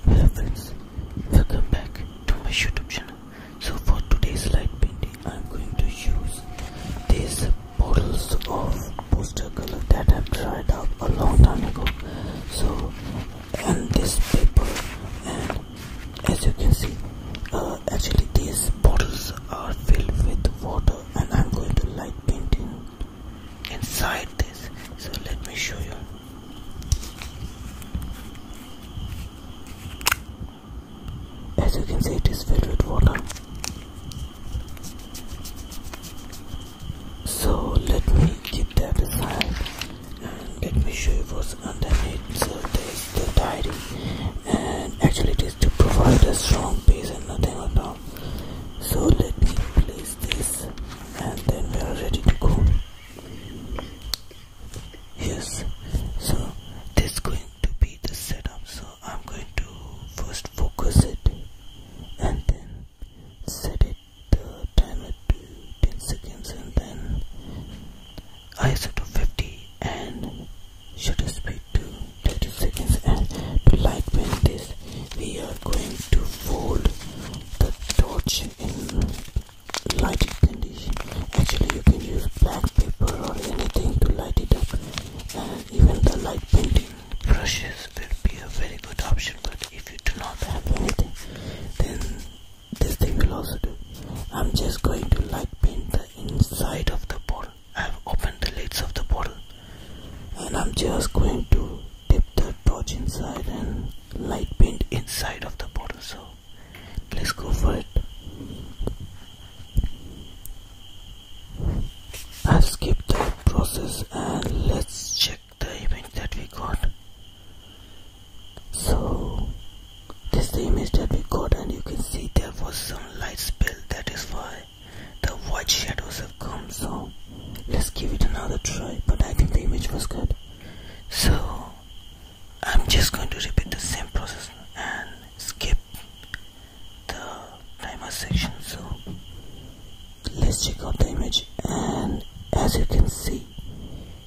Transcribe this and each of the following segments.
Hello friends, welcome back to my YouTube channel. So for today's light painting, I'm going to use these bottles of poster color that I've tried out a long time ago. So and this paper and as you can see, uh, actually these bottles are filled with water and I'm going to light painting inside this. So let me show you. As you can see, it is filled with water. So let me keep that aside and let me show you what's underneath. So there is the diary, and actually, it is to provide a strong base and nothing at all. So let me place this, and then we are ready to go yes so this is going to be the setup so I'm going to first focus it and then set it the timer to 10 seconds and then ISO to 50 and shutter speed to 30 seconds and to lightweight this we are going to fold the torch in lighting condition. Actually, you can use black paper or anything to light it up, uh, even the light painting brushes will be a very good option. But if you do not have anything, then this thing will also do. I'm just going to light paint the inside of the bottle. I've opened the lids of the bottle, and I'm just going to dip the a torch inside and light paint inside of the bottle so let's go for it I've skipped that process and let's check the image that we got so this is the image that we got and you can see there was some light spill that is why the white shadows have come so let's give it another try but I think the image was good so I'm just going to repeat the same process and skip the timer section so let's check out the image and as you can see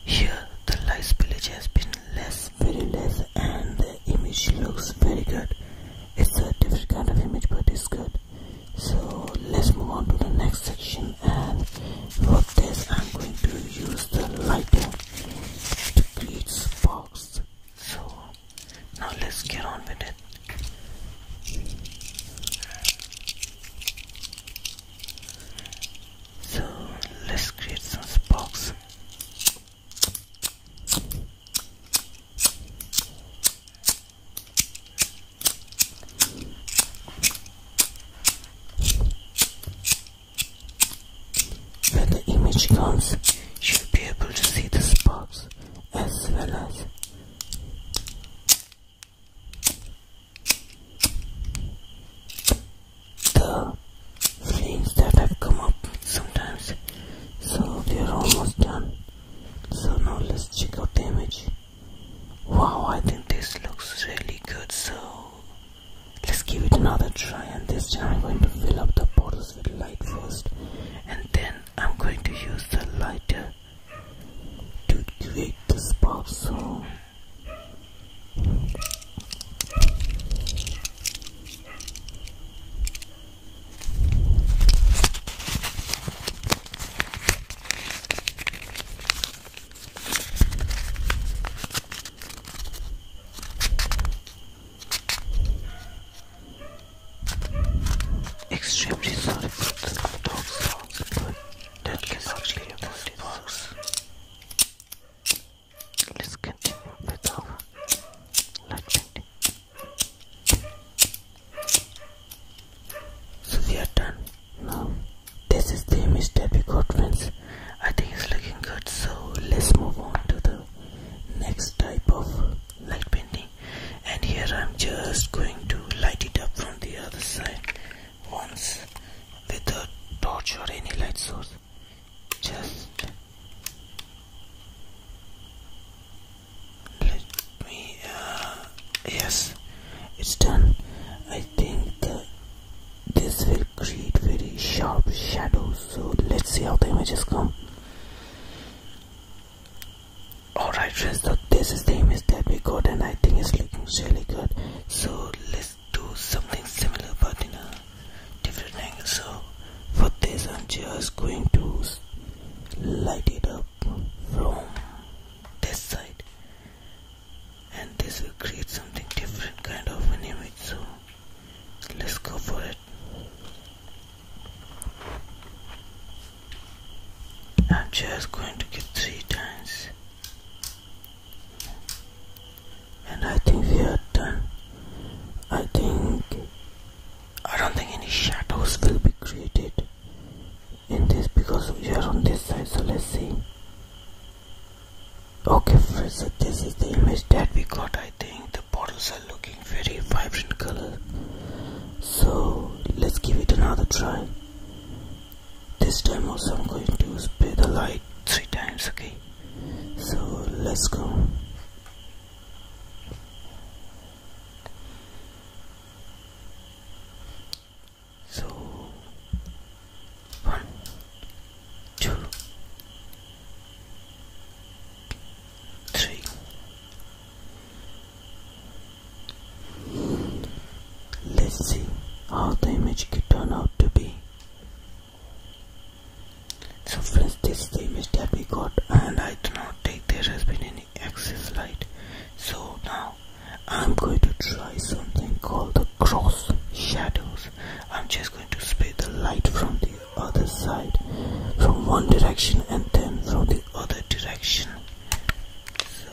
here the light spillage has been less very less and the image looks very good it's a different kind of image but it's good so let's move on to the next section and for this I'm going to use the lighter to create sparks so now let's get on with it so let's create some sparks when the image comes, you'll be able to see the sparks as well as the flames that have come up sometimes. So they are almost done. So now let's check out the image. Wow, I think this looks really good, so let's give it another try. And this time I'm going to fill up the bottles with light first, and then I'm going to use the lighter to create the spark. So. Extremely sorry for the dog sounds, but that cannot be this box. Let's continue with our light so we are done now. This is the image that we got friends. I think it's looking good so let's move on to the next type of light painting and here I'm just going to light it up from the other side once with a torch or any light source. Just let me uh, yes it's done I think this will create very sharp shadows so let's see how the images come alright friends so this is the image that we got and I think it's looking really good so let's do something similar but in a different angle so for this I'm just going to light it up from this side and this will create something different kind of an image so let's go for it I'm just going to get three times and I think we are done I think I don't think any shadows will be created in this because we are on this side so let's see okay friends this is the image that we got i think the bottles are looking very vibrant color so let's give it another try this time also i'm going to spray the light three times okay so let's go so one two three let's see how the image could turn out to be so friends this is the image that we got and I do not think there has been any any light. So now I'm going to try something called the cross shadows. I'm just going to spray the light from the other side from one direction and then from the other direction. So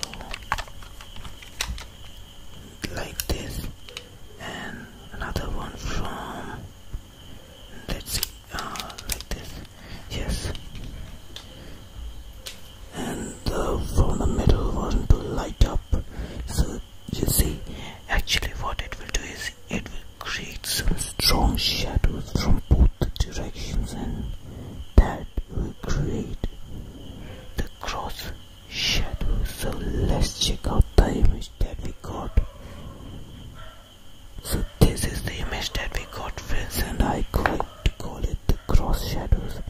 like this and another one from let's see ah, like this Yes. And the uh, from the middle one to light up. So you see, actually what it will do is it will create some strong shadows from both the directions and that will create the cross shadows. So let's check out the image that we got. So this is the image that we got friends and I going to call it the cross shadows.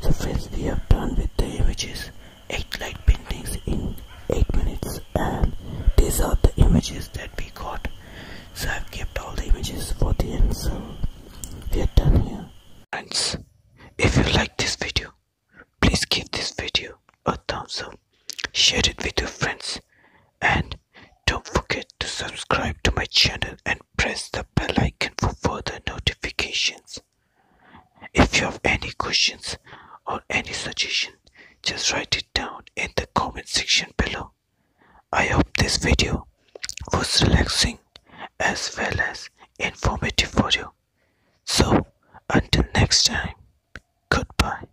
So friends, we have done with the images. 8 light paintings in 8 minutes and these are the images that we got. So I've kept all the images for the end we are done here. Friends, if you like this video, please give this video a thumbs up, share it with your friends and don't forget to subscribe to my channel and press the bell icon for further notifications. If you have any questions or any suggestion, just write it down in the comment section below. I hope this video was relaxing as well as informative for you. So, until next time, goodbye.